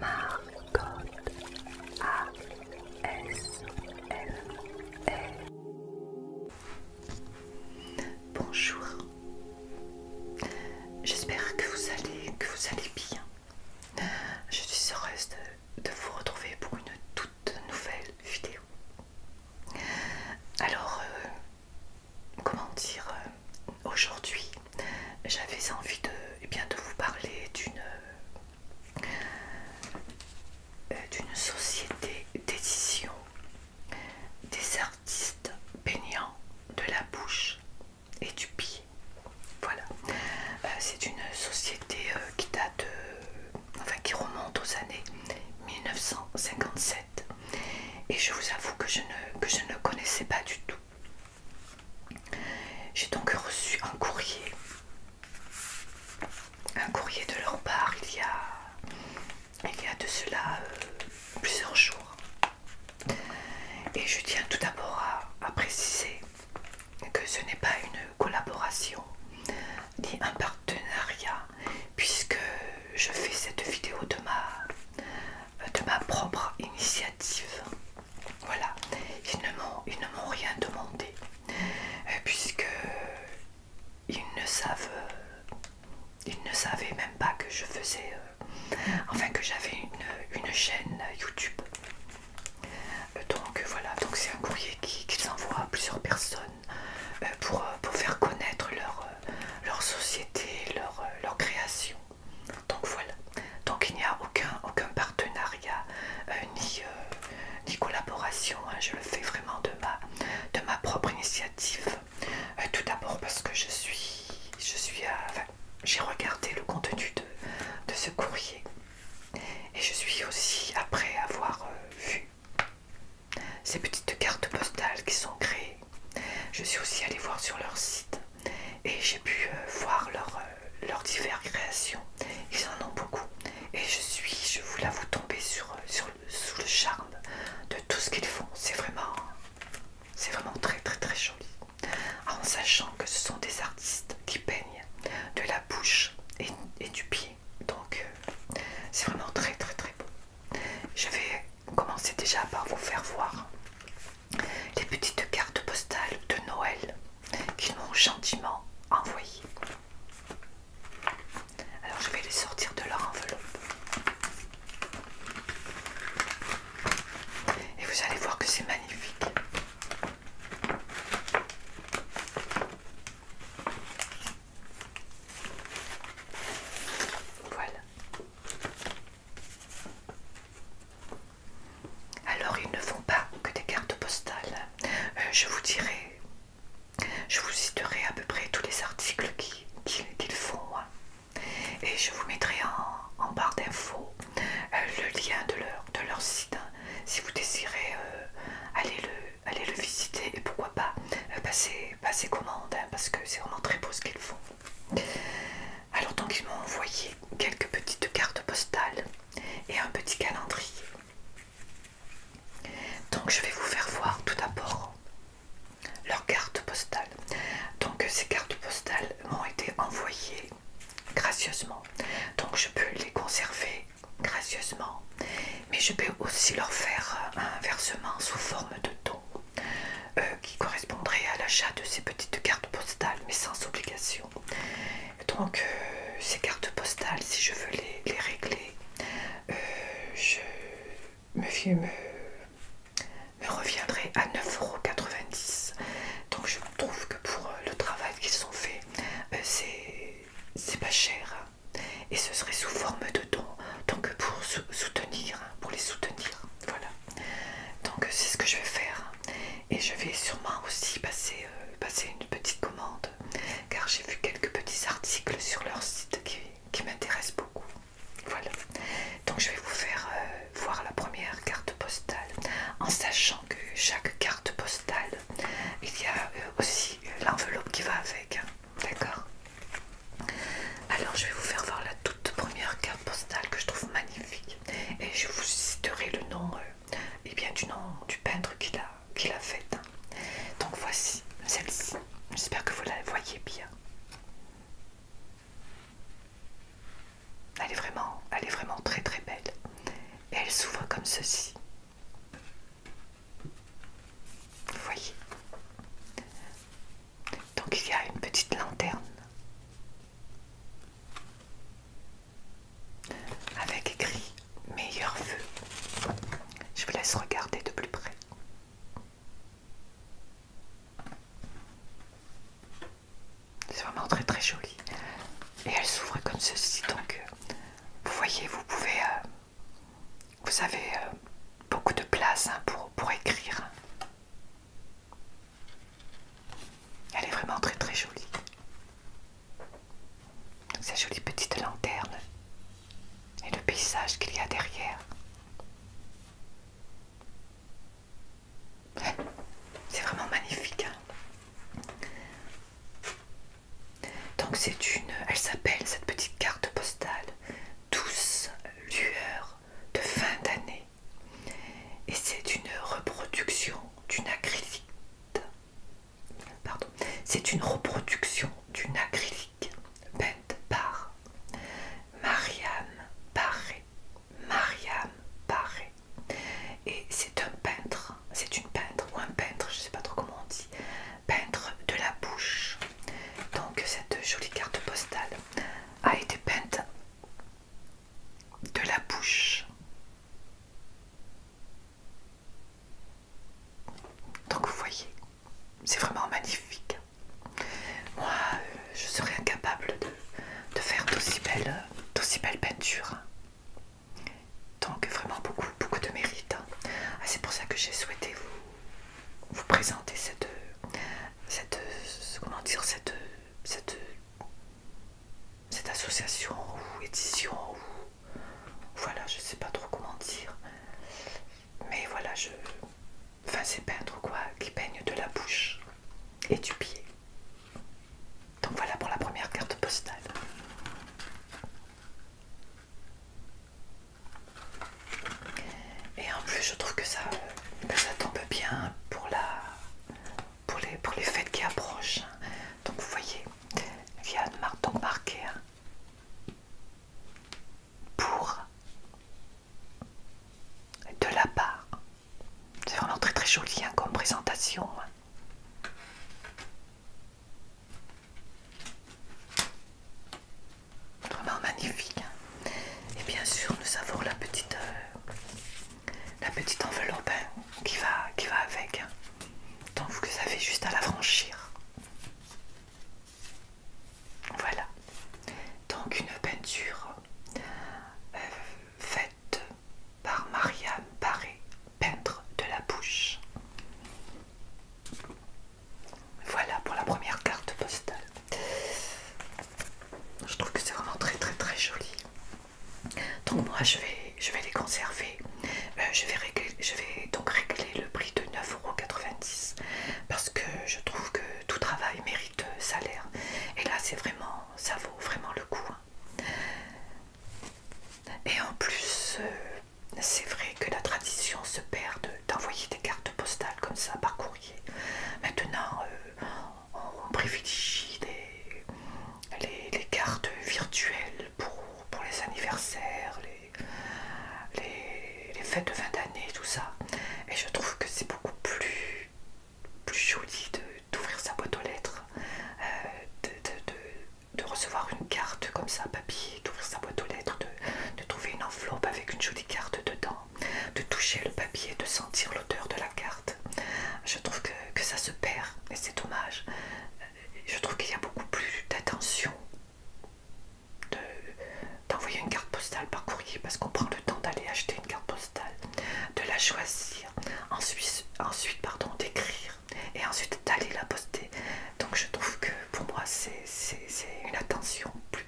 Margot A S L L e. Bonjour. J'espère que vous allez que vous allez bien. Je suis heureuse de, vous retrouver pour une toute nouvelle vidéo. Alors, euh, comment dire euh, aujourd'hui, j'avais envie de, eh vous parler d'une euh, d'une société d'édition des artistes peignants de la bouche et du pied. Voilà. Euh, c'est une société euh, qui date, enfin qui remonte aux années 1957. Et je vous avoue que je ne, que je ne connaissais pas du tout. J'ai donc reçu un courrier, un courrier de leur part il y a, il y a de cela euh, plusieurs jours. Et je tiens tout d'abord à, à préciser que ce n'est pas une collaboration ni un partenariat puisque je fais cette vidéo de ma euh, de ma propre initiative. Voilà, ils ne m'ont rien demandé, euh, puisque ils ne ils ne savaient même pas que je faisais, euh, enfin que j'avais une, chaîne YouTube. Donc voilà, donc c'est un courrier qu'ils envoient à plusieurs personnes pour, faire connaître leur, société, leur création. Donc voilà. Donc il n'y a aucun, partenariat euh, euh, ni, collaboration. Hein. Je le fais vraiment de ma, propre initiative. Euh, tout d'abord parce que je suis, j'ai regardé le contenu de, ce courrier et je suis aussi après avoir vu ces petites cartes postales qui sont créées. Je suis aussi allée voir sur leur site et j'ai pu euh, voir euh, leurs diverses créations. Ils en ont beaucoup et je suis, je vous tomber sur, euh, sur, sous le charme de tout ce qu'ils font. C'est vraiment, c'est vraiment très très très joli. Ah, en sachant que ce sont des artistes qui peignent de la bouche et, du pied. Donc c'est vraiment très très très beau. Je vais commencer déjà par vous faire voir les petites cartes postales de Noël qu'ils m'ont gentiment envoyées. Alors je vais les sortir de leur enveloppe. Et vous allez voir que c'est magnifique. Voilà. Alors ils ne font pas que des cartes postales. Euh, je vous dirai, je vous citerai à peu près tous les articles qu'ils font. Et je vous mettrai en, barre d'infos euh, le lien de leur, site. Hein, si vous désirez euh, aller, le, aller le visiter et pourquoi pas passer, passer commande. Hein, parce que c'est vraiment très beau ce qu'ils font. Alors donc ils m'ont envoyé quelques petites cartes postales et un petit calendrier. Donc je vais vous faire voir tout d'abord leurs cartes postales. Donc ces cartes postales m'ont été envoyées gracieusement. Donc je peux les conserver gracieusement. Mais je peux aussi leur faire un versement sous forme de don. Euh, qui correspondrait à l'achat de ces petites cartes postales, mais sans obligation. Donc, euh, ces cartes postales, si je veux les, régler, euh, je me, reviendrai à 9,90€. Donc, je trouve que pour le travail qu'ils ont fait, c'est pas cher. Et ce serait sous forme de don, donc pour soutenir, pour les soutenir. Voilà. Donc c'est ce que je vais faire et je vais sûrement aussi passer, euh, passer une petite commande car j'ai vu quelques petits articles sur leur site qui, m'intéressent beaucoup. Voilà, donc je vais vous faire euh, voir la première carte postale en sachant que chaque carte postale il y a euh, aussi l'enveloppe qui va avec, hein. d'accord Alors je vais vous faire voir la toute première carte postale que je trouve magnifique et je vous citerai le nom euh, eh bien, du nom du peintre qui l'a faite. Donc voici celle-ci. J'espère que vous la voyez bien. Elle est vraiment, elle est vraiment très très belle. Et elle s'ouvre comme ceci. Vous voyez. Donc il y a une petite lanterne avec écrit meilleur feu Je vous laisse regarder de plus près. C'est vraiment très très joli. Et elle s'ouvre comme ceci. Donc, euh, vous voyez, vous pouvez... Euh, vous avez euh, beaucoup de place hein, pour, pour écrire. Elle est vraiment très très jolie. sa jolie petite lanterne et le paysage qu'il y a derrière. C'est vraiment magnifique. Hein. Donc c'est une, elle s'appelle cette petite carte postale, douce lueur de fin d'année et c'est une reproduction d'une acrylique. Pardon, c'est une reproduction d'une acrylique peinte par Mariam Paré. Mariam Paré. Et c'est un peintre, c'est une peintre ou un peintre, je ne sais pas trop comment on dit, peintre de la bouche. Donc cette jolie carte postale a été peinte de la bouche. Donc vous voyez, c'est vraiment magnifique. Moi, euh, je serais incapable de, faire d'aussi belles, belle peintures. Donc vraiment beaucoup, beaucoup de mérite. Ah, c'est pour ça que j'ai souhaité vous, présenter cette, cette, comment dire, cette, cette cette association ou édition ou voilà je sais pas trop comment dire mais voilà je enfin c'est peintre quoi qui peigne de la bouche et du pied donc voilà pour la première carte postale et en plus je trouve que ça, que ça tombe bien pour la pour les, pour les fêtes qui approchent. Hein. Donc vous voyez, il y a donc marqué hein, pour de la part. C'est vraiment très très joli hein, comme présentation. Vraiment magnifique. Et bien sûr, nous avons la petite, euh, la petite enveloppe hein, qui, va, qui va avec. Donc vous avez juste à la franchir. Voilà. Donc une peinture euh, faite par Marianne Barré peintre de la bouche. Voilà pour la première carte postale. Je trouve que c'est vraiment très très très joli. Donc moi je vais, je vais les conserver. Euh, je, vais je vais donc régler le prix de 9,90€ parce que je trouve que tout travail mérite salaire. Et là c'est vraiment, ça vaut vraiment le coup. Hein. Et en plus, euh, c'est vrai que la tradition se perd d'envoyer des cartes postales comme ça par courrier. Maintenant, euh, on, privilégie les, cartes virtuelles pour, les anniversaires, les, fêtes de fin d'année, tout ça. Et je trouve que c'est beaucoup plus, joli d'ouvrir sa boîte aux lettres, de, recevoir une carte comme ça, papier, d'ouvrir sa boîte aux lettres, de trouver une enveloppe avec une jolie carte dedans de toucher le papier, de sentir l'odeur de la carte. Je trouve que, ça se perd et c'est dommage. Je trouve qu'il y a beaucoup plus d'attention d'envoyer une carte postale par courrier parce qu'on prend le temps d'aller acheter une carte postale, de la choisir, ensuite, ensuite pardon, d'écrire et ensuite d'aller la poster. Donc je trouve que pour moi c'est une attention plus,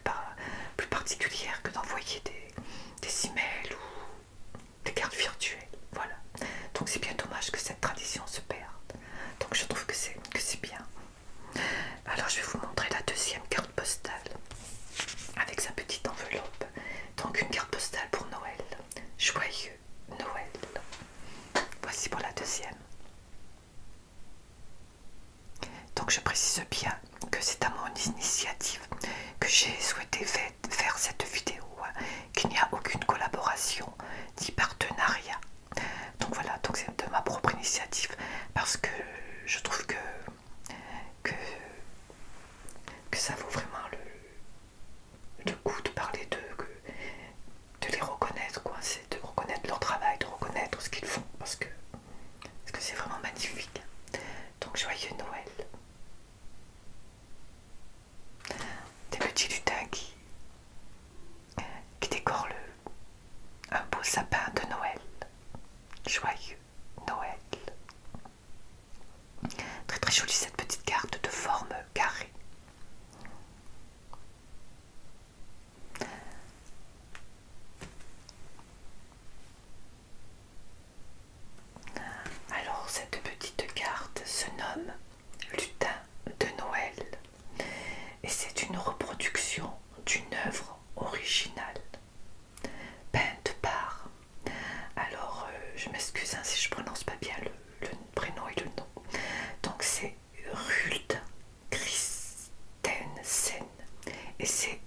plus particulière que d'envoyer des, des emails ou des cartes virtuelles. Voilà. Donc c'est bien dommage que cette tradition se perde. Donc je trouve que c'est bien. Alors je vais vous montrer la deuxième carte postale avec sa petite enveloppe. Donc une carte postale pour Noël. Joyeux Noël. Voici pour la deuxième. Donc je précise bien que c'est à mon initiative que j'ai souhaité faire cette vidéo, hein, qu'il n'y a aucune collaboration ni partenariat. Donc voilà, donc c'est de ma propre initiative parce que je trouve que, que, que ça vaut vraiment le, goût coup de parler d'eux de les reconnaître, quoi. C'est de reconnaître leur travail, de reconnaître ce qu'ils font parce que c'est vraiment magnifique. Donc joyeux Noël. Des petits lutins qui, qui décorent le, un beau sapin de Noël. Joyeux Noël. Très très jolie cette petite carte de forme carrée. Alors cette petite carte se nomme Lutin de Noël et c'est une reproduction d'une œuvre originale peinte par... Alors euh, je m'excuse hein, si je prononce pas bien le, prénom et le nom. Donc c'est Rulte Christensen et c'est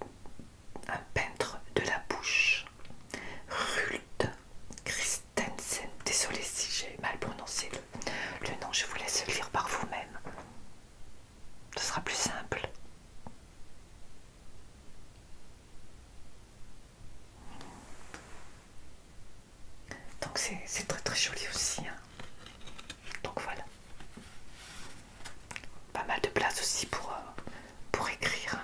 un peintre de la bouche, Rulte Christensen. Désolée si j'ai mal prononcé le, nom, je vous laisse lire par vous-même. Ce sera plus simple. Donc c'est très très joli aussi. Hein. Donc voilà. Pas mal de place aussi pour, euh, pour écrire.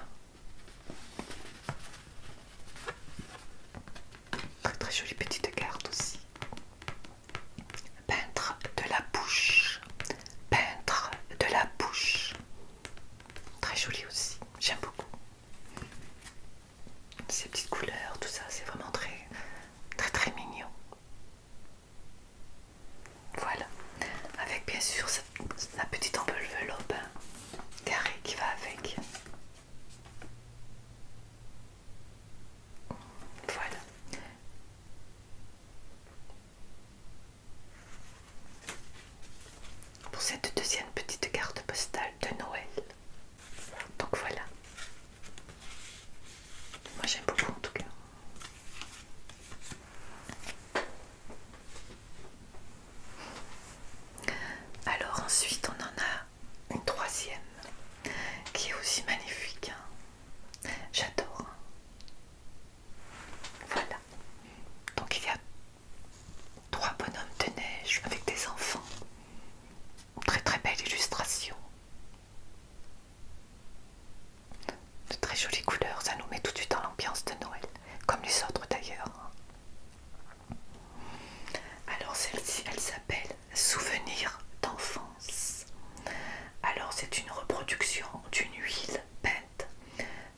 Très très jolie petite carte aussi. Peintre de la bouche. Peintre de la bouche. Très jolie aussi. J'aime beaucoup. Ces petites couleurs, tout ça, c'est vraiment très très très mignon. Voilà, avec bien sûr la petite enveloppe carré hein, carrée qui va avec. Voilà. Pour cette deuxième petite carte postale de Noël. Donc voilà. Moi j'aime beaucoup en tout cas. Alors ensuite on en a une troisième qui est aussi magnifique. Hein. J'adore. Hein. Voilà. Donc il y a trois bonhommes de neige avec des enfants. très très belle illustration de très jolies couleurs, ça nous met tout de suite dans l'ambiance de Noël, comme les autres d'ailleurs. Hein. Alors celle-ci, elle s'appelle Souvenir d'enfance. Alors c'est une reproduction d'une huile peinte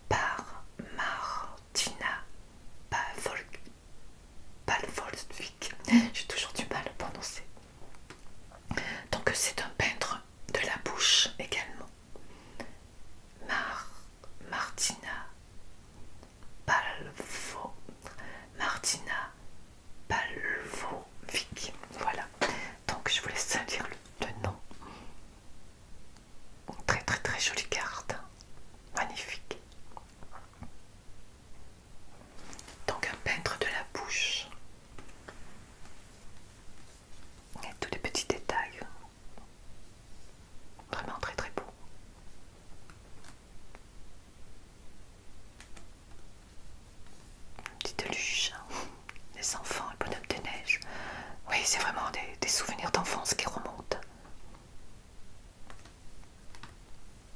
par Martina Palvolsvik. J'ai toujours du mal à prononcer. Donc c'est un peintre de la bouche également. Martina Palvo Martina Palvovic voilà donc je vous laisse lire le, nom très très très jolie carte hein. magnifique donc un peintre de la bouche et tous les petits détails. Vraiment très très beau. petite luche hein. les enfants, le bonhomme de neige Oui, c'est vraiment des, souvenirs d'enfance qui remontent.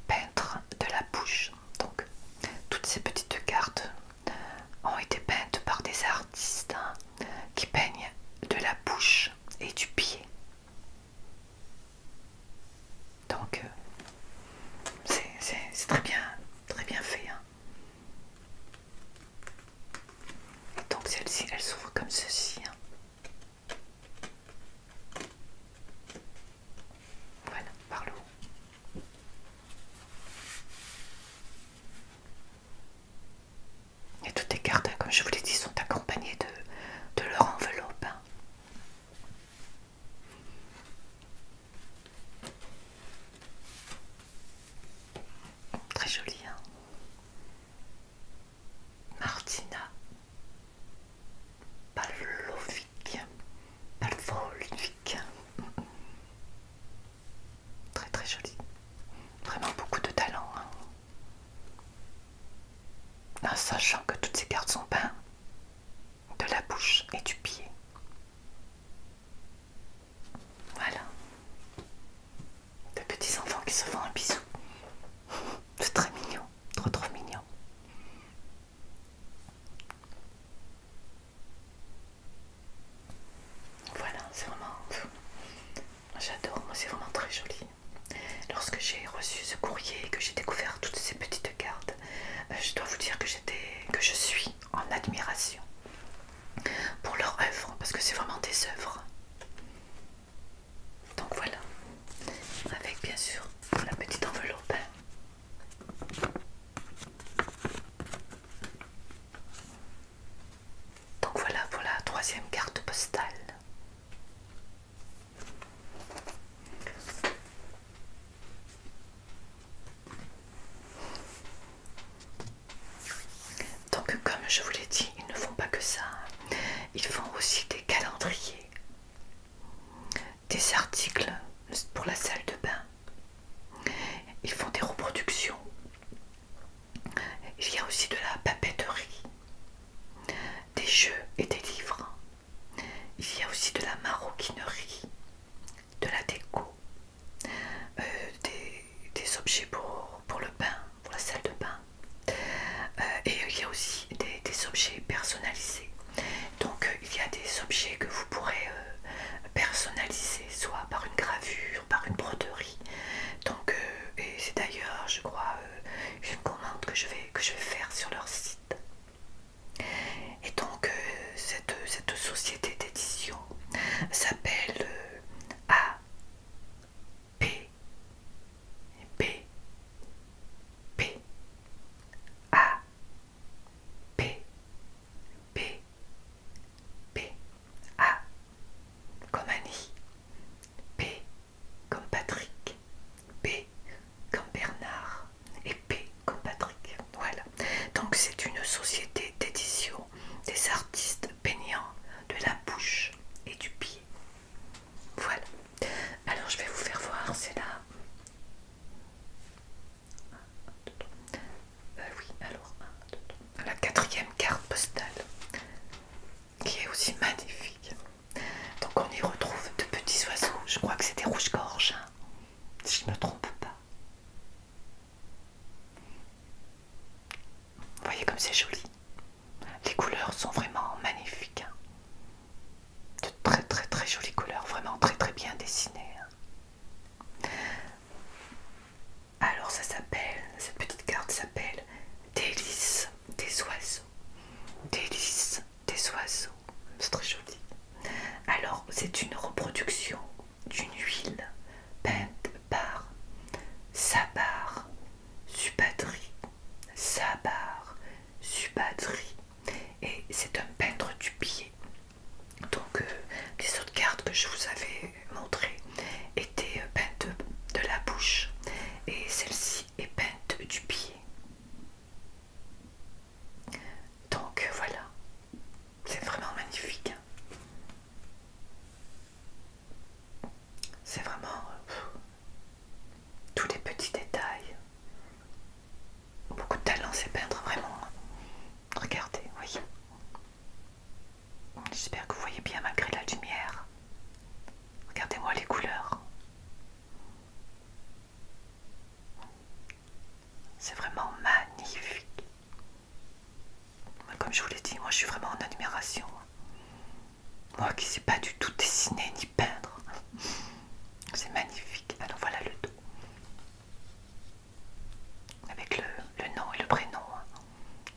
Peintre de la bouche. Donc, toutes ces petites cartes ont été peintes par des artistes hein qui peignent de la bouche et du pied. Donc euh, c'est très bien, très bien fait. Hein. donc celle-ci, elle s'ouvre comme ceci. Hein. Voilà, par le haut. Et toutes les cartes, comme je vous l'ai dit, sont accompagnées de, leur enveloppe. Hein. Très joli, hein Martina Pavlovic. Pavlovic. Très très joli, Vraiment beaucoup de talent. Hein. sachant que toutes ces cartes sont peintes de la bouche et du pied. Voilà. De petits enfants qui se font un bisou. C'est très mignon. Trop trop mignon. Voilà, c'est vraiment. J'adore, moi c'est vraiment très joli. Lorsque j'ai reçu ce courrier et que j'ai découvert toutes ces petites cartes, euh, je dois vous dire que j'étais, que je suis en admiration pour leur œuvre, parce que c'est vraiment des œuvres. Donc voilà, avec bien sûr la petite enveloppe. Donc voilà voilà, troisième carte postale. Donc comme je vous l'ai dit, ils ne font pas que ça. Hein. Ils font aussi des calendriers, des articles pour la salle de bain, ils font des reproductions. Il y a aussi de la papeterie, des jeux et des livres. Il y a aussi de la maroquinerie, de la déco, euh, des, objets pour, pour le bain, pour la salle de bain. Euh, et il y a aussi des, objets personnalisés. Donc euh, il y a des objets que vous pourrez personnaliser soit par une gravure, par une broderie. Donc, euh, et c'est d'ailleurs, je crois, euh, une commande que je, vais, faire sur leur site. Et donc, euh, cette, société d'édition s'appelle A P P. A. P. P. P. A comme Annie, P comme Patrick, B comme Bernard et P comme Patrick. Voilà. Donc c'est une société d'édition des artistes peignants de la bouche et du pied. Voilà. Alors je vais vous faire voir, c'est là. Euh, oui, alors, ah, La quatrième carte postale, qui est aussi magnifique. Donc on y retrouve de petits oiseaux, je crois que c'est des rouges-gorges, hein, si je ne me trompe pas. Vous voyez comme c'est joli. Les couleurs sont vraiment magnifiques. Hein. De très très très jolies couleurs, vraiment très très bien dessinées. Hein. Alors ça s'appelle, cette petite carte s'appelle Délices des oiseaux. Délices des oiseaux. C'est très joli. Alors c'est une reproduction d'une huile peinte par Sabar Subadri. Sabar Subadri. Et c'est un peintre du pied donc les euh, autres cartes que je vous avais montrées étaient euh, peintes de la bouche et celle-ci est peinte du pied. Donc euh, voilà, c'est vraiment magnifique. Hein. C'est vraiment tous les petits détails. Beaucoup de talent, c'est peindre vraiment. Hein. Regardez, oui. J'espère que vous voyez bien malgré la lumière. Regardez-moi les couleurs. C'est vraiment magnifique. Comme je vous l'ai dit, moi je suis vraiment en admiration. Moi qui ne sais pas du tout dessiner ni peindre. C'est magnifique. Alors voilà le dos avec le, nom et le prénom hein.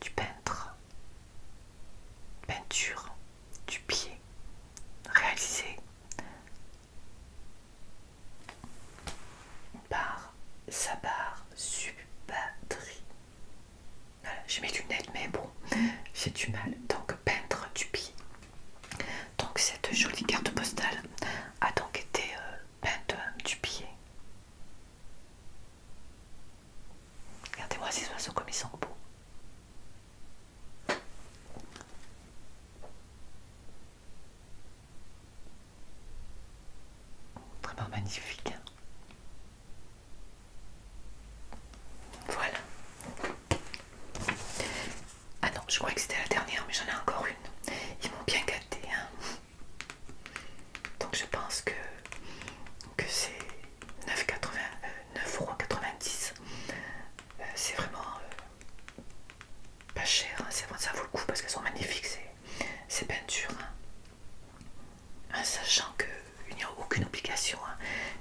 du peintre. Peinture du pied Réalisé par Sabar Subadri. Voilà, j'ai mes lunettes, mais bon, j'ai du mal. Donc, peintre du pied. Donc, cette jolie carte postale a donc été euh, peinte du pied Regardez-moi ces oiseaux comme ils sont beaux. Vraiment magnifique. Hein. Voilà. Ah non, je croyais que c'était la dernière, mais j'en ai encore une. Ils m'ont bien gâté. Hein donc je pense que, que c'est 9,90€. Euh, c'est vraiment euh, pas cher, hein. ça vaut le coup parce qu'elles sont magnifiques ces, peintures. Hein. Hein, sachant qu'il n'y a aucune obligation,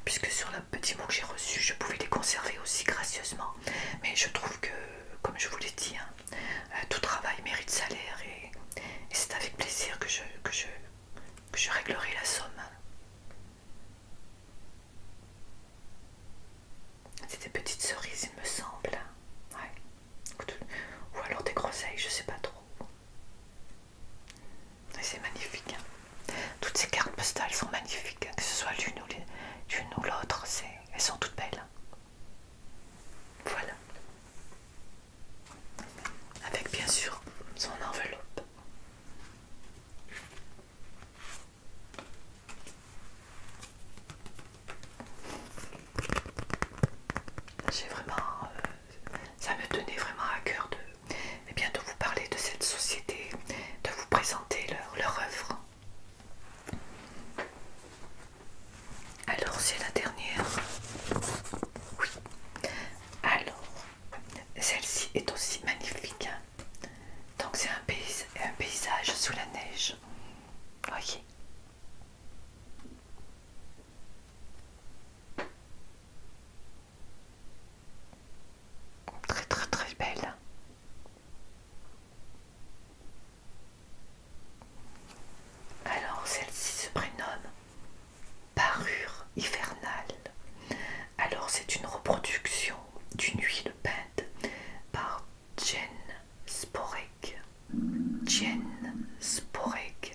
puisque sur le petit mot que j'ai reçu, je pouvais les conserver aussi gracieusement. Mais je trouve que, comme je vous l'ai dit, euh, tout travail mérite salaire et, c'est avec plaisir que je, réglerai la somme. C'est des petites cerises, il me semble. Ou alors des groseilles, je sais pas trop. C'est magnifique. Hein. Toutes ces cartes postales sont magnifiques, hein, que ce soit l'une ou l'autre, elles sont toutes belles. Hein. Voilà. Avec bien sûr son enveloppe. J'ai vraiment... Euh, ça me tenait vraiment à cœur de, eh bien, de vous parler de cette société, de vous présenter leur, leur œuvre. Alors c'est la dernière. Oui. Alors, celle-ci est aussi magnifique. Hein. Donc c'est un, un paysage sous la neige. Voyez. Très très très belle. Alors celle-ci se prénomme parure hivernale. Alors c'est une reproduction d'une huile peinte par Jen Sporek. Jen Sporek.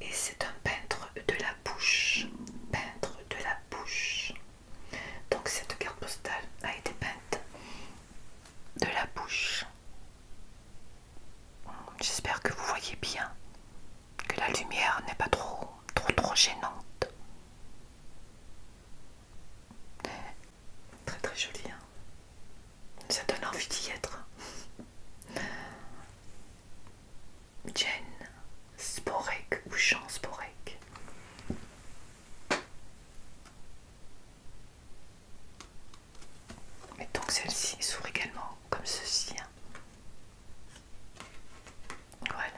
Et c'est un peintre de la bouche. Peintre de la bouche. Donc cette carte postale a été peinte de la bouche. J'espère que vous voyez bien, que la lumière n'est pas trop, trop, trop gênante. Très, très joli, hein Ça donne envie d'y être. Jen Sporek ou Jean Sporek. Et donc celle-ci s'ouvre également comme ceci. Hein. Voilà.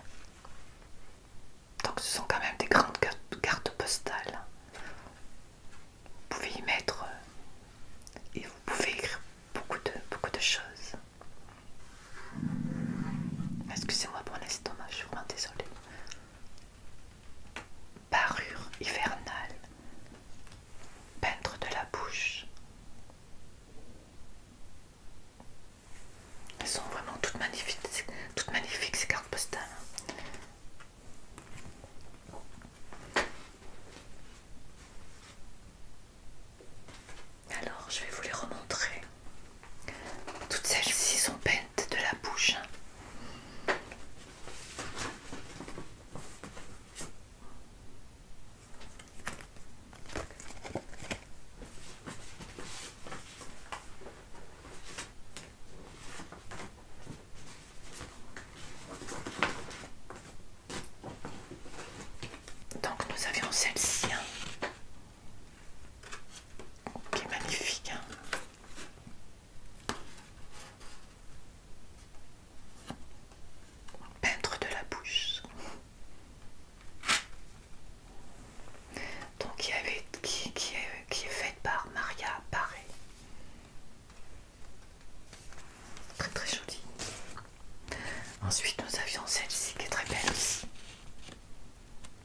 Donc ce sont quand même des grandes cartes postales. Hein. Vous pouvez y mettre euh, et vous pouvez écrire beaucoup de, beaucoup de choses. Excusez-moi pour l'estomac, je suis vraiment désolée parure hivernale, peintre de la bouche. Elles sont vraiment toutes magnifiques, toutes magnifiques ces cartes postales. Alors, je vais vous les remontrer. Toutes celles-ci sont peintes de la bouche. Donc nous avions celle-ci qui hein. est magnifique. Hein. Peintre de la bouche. Donc avait qui, qui, est, faite par Maria Paré. Très très jolie. Ensuite nous avions celle-ci qui est très belle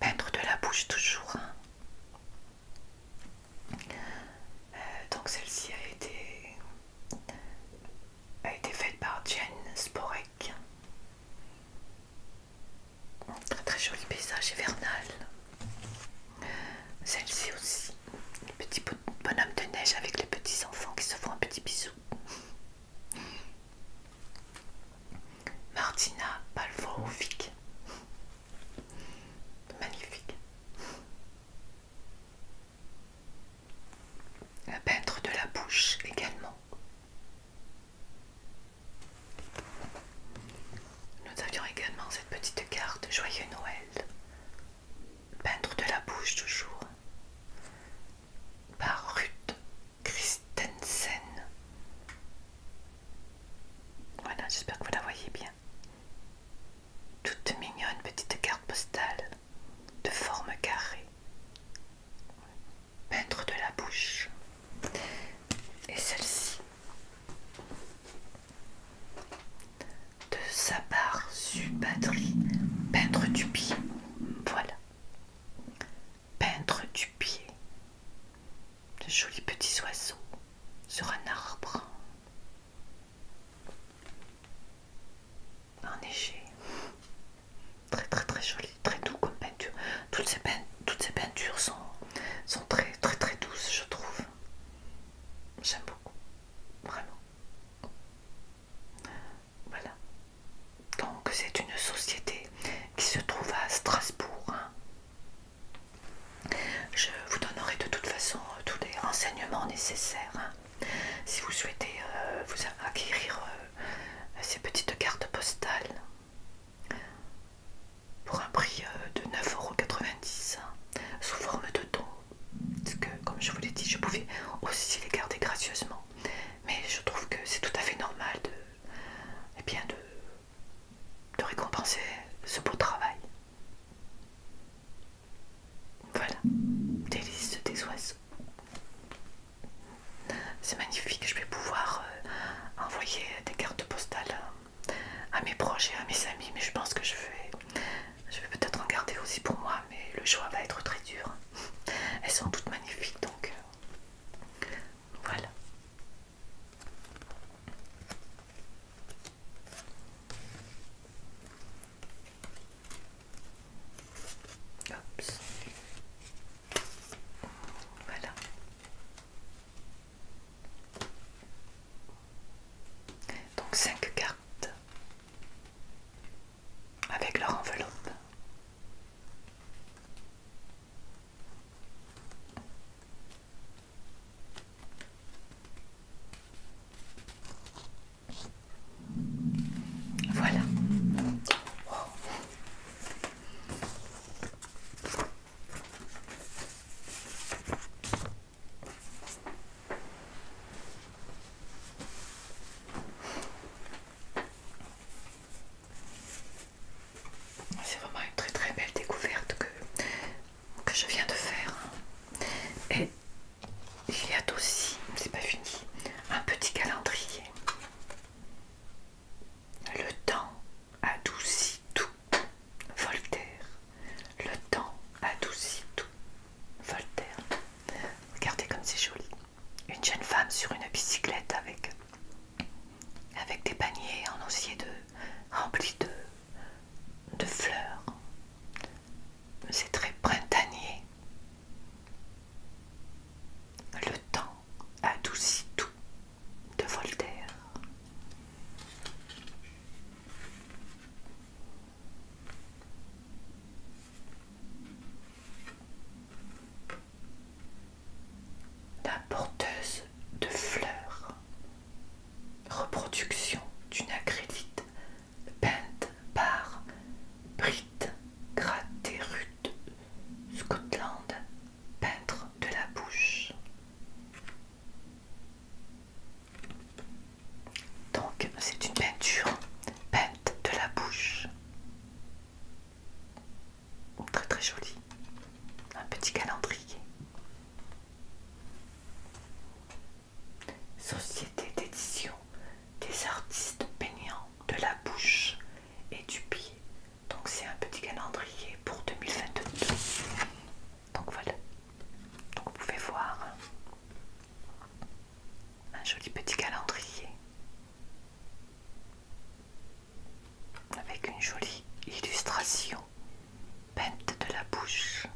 Peintre de la bouche toujours. Hein. Euh, donc celle-ci a été, a été faite par Jen Sporek. Très très joli paysage hivernal. Celle-ci aussi, petit bonhomme de neige avec les petits enfants qui se font un petit bisou. Martina Palvorovic. Magnifique. Un peintre de la bouche également. Nous avions également cette petite carte Joyeux Noël. Peintre de la bouche toujours. Par Ruth Christensen. Voilà, j'espère que vous la voyez bien. Toute mignonne petite carte postale de forme carrée. peintre de la bouche. Et celle-ci. De sa part, Subadri, peintre du pied. Voilà. Peintre du pied. De jolis petits oiseaux sur un arbre enneigé, très très très joli, très doux comme peinture. Toutes ces, toutes ces peintures sont, sont très très très douces, je trouve. J'aime beaucoup, vraiment. Voilà. Donc c'est une société qui se trouve à Strasbourg. Hein. Je vous donnerai de toute façon euh, tous les renseignements nécessaires. Hein. si vous souhaitez euh, vous acquérir euh, ces petites cartes postales pour un prix de 9,90€ hein, sous forme de don. Parce que, comme je vous l'ai dit, je pouvais aussi les garder gracieusement. Mais je trouve que c'est tout à fait normal de, eh bien de récompenser ce beau travail. Voilà, délice des oiseaux. C'est magnifique, je vais pouvoir euh, envoyer des cartes postales euh, à mes proches et à mes amis, mais je pense que je vais, je vais peut-être en garder aussi pour moi, mais le choix va être très dur. Elles sont toutes magnifiques, donc euh, voilà. Voilà. Donc cinq cartes avec leur enveloppe. Voilà. C'est vraiment une très très belle découverte que que je viens de faire. Et il y a aussi, c'est pas fini, un petit calendrier. Le temps adoucit tout. Voltaire. Le temps adoucit tout. Voltaire. Regardez comme c'est joli. Une jeune femme sur une bicyclette avec, avec des paniers en osier de, remplis de de fleurs. C'est très printanier. Le temps adoucit tout de Voltaire. La porteuse de fleurs Reproduction d'une acrylite peinte par Britt Graterud, Scotland, peintre de la bouche. Donc c'est une peinture peinte de la bouche. Très très jolie. Un petit calendrier. Société d'édition des artistes peignants de la bouche et du pied. Donc c'est un petit calendrier pour 2022. Donc voilà. Donc vous pouvez voir un joli petit calendrier avec une jolie illustration peinte de la bouche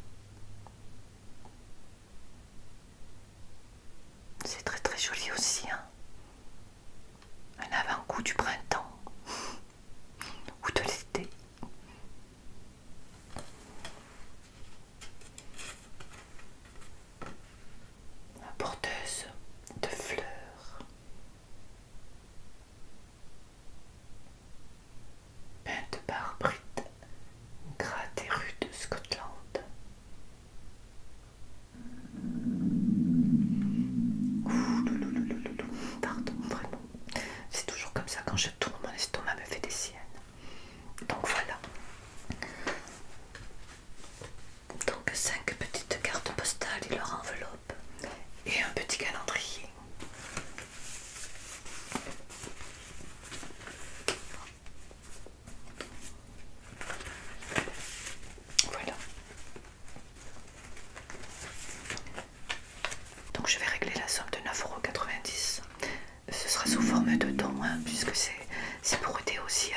c'est très très joli aussi. Hein Un avant-goût du printemps ou de l'été. La porteuse de fleurs peinte par Britt gratte et rue de Scotland. Ouh, loulou, Pardon, vraiment. C'est toujours comme ça quand je tourne, mon estomac me fait des siennes. Donc voilà. Donc cinq petites cartes postales et leur enveloppe et un petit calendrier. Voilà. Donc je vais régler la somme de 9,90€. Ce sera sous forme de don hein, puisque c'est pour aider aussi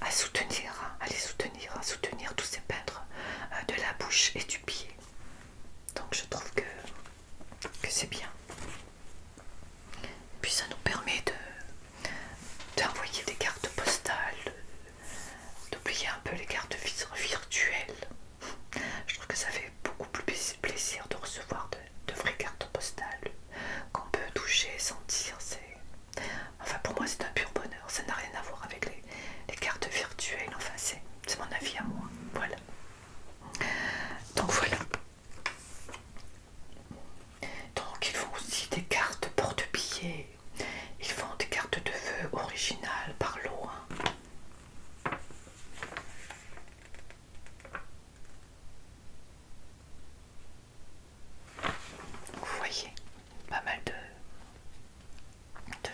à, soutenir, à les soutenir, à soutenir tous ces peintres euh, de la bouche et du pied. Donc je trouve que que c'est bien. Puis ça nous permet d'envoyer des cartes postales, d'oublier un peu les cartes virtuelles. Je trouve que ça fait beaucoup plus plaisir de recevoir de, vraies cartes postales qu'on peut toucher, sentir. Enfin pour moi c'est un pur bonheur, ça n'a rien à voir avec les, les cartes virtuelles, enfin c'est mon avis à moi. Voilà. Donc voilà. Donc ils font aussi des cartes porte-billets. Ils font des cartes de vœux originales par lot. Vous voyez, pas mal de, de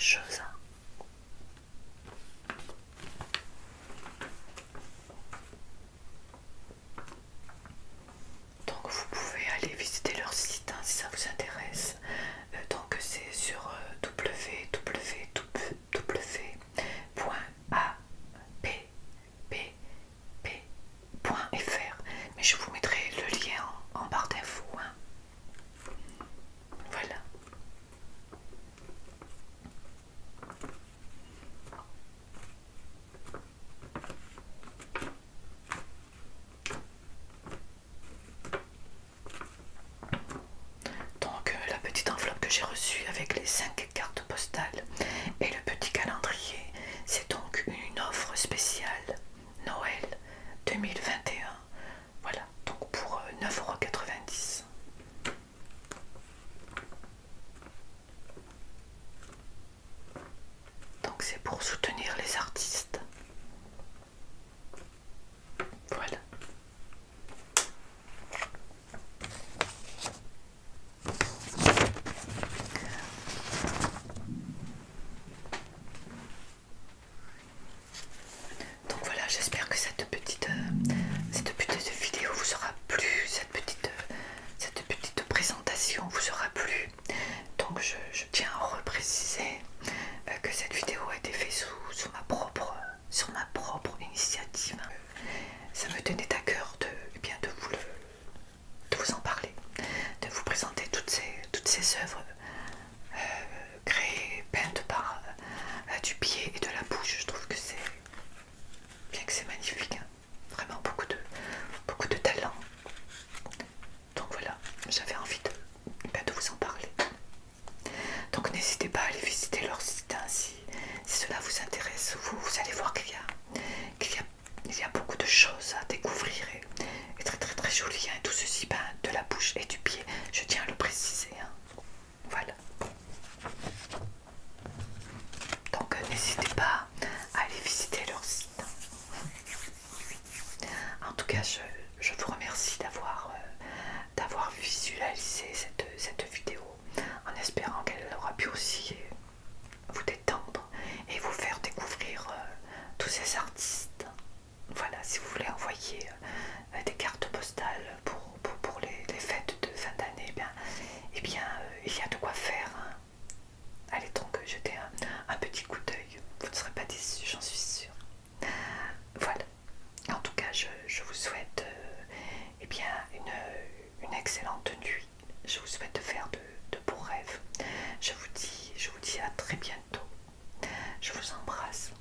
choses. Hein. Donc vous pouvez aller visiter leur site hein, si ça vous intéresse. Euh, donc c'est sur euh, www.appp.fr, mais je vous mettrai le lien en, barre d'infos. Hein. Voilà. Donc euh, la petite enveloppe que j'ai reçue avec les 5 cartes postales et le petit calendrier, c'est donc une offre spéciale Noël 2021. Voilà, donc pour 9,90€. Euh, donc c'est pour soutenir les artistes. Voilà. Donc voilà, j'espère que cette petite, euh, vidéo vous aura plu, cette petite, euh, cette petite présentation vous aura plu. Donc je, tiens à repréciser euh, que cette vidéo a été faite sous, ma, propre, sur ma propre initiative. Ça me tenait à cœur de, eh bien, de, vous, le, vous en parler, de vous présenter toutes ces, toutes ces œuvres créé peinte par euh, du pied et de la bouche. Je trouve que c'est bien que c'est magnifique. Hein. Vraiment beaucoup de, beaucoup de talent. Donc voilà, j'avais envie ben, de, vous en parler. Donc n'hésitez pas à aller visiter leur site hein, si, cela vous intéresse. Vous, allez voir qu'il y, qu'il y, y, a beaucoup de choses à découvrir et, très très très joli. Et hein. Tout ceci ben, de la bouche et du pied, je tiens à le préciser. Voilà. Donc euh, n'hésitez pas à aller visiter leur site. En tout cas, je, vous remercie d'avoir euh, visualisé cette, vidéo en espérant qu'elle aura pu aussi euh, vous détendre et vous faire découvrir tous ces artistes. Voilà, si vous voulez envoyer euh, des cartes postales pour, les, fêtes de fin d'année, eh bien, eh euh, il y a de quoi faire. Hein. Allez donc euh, jeter un, petit coup d'œil, vous ne serez pas déçus, j'en suis sûre. Voilà. En tout cas, je, vous souhaite eh bien, une, excellente nuit. Je vous souhaite de faire de, de beaux rêves. Je vous dis, je vous dis à très bientôt. Je vous embrasse.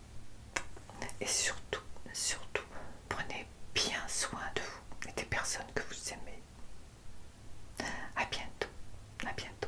Et surtout, surtout, prenez bien soin de vous et des personnes que vous aimez. À bientôt, à bientôt.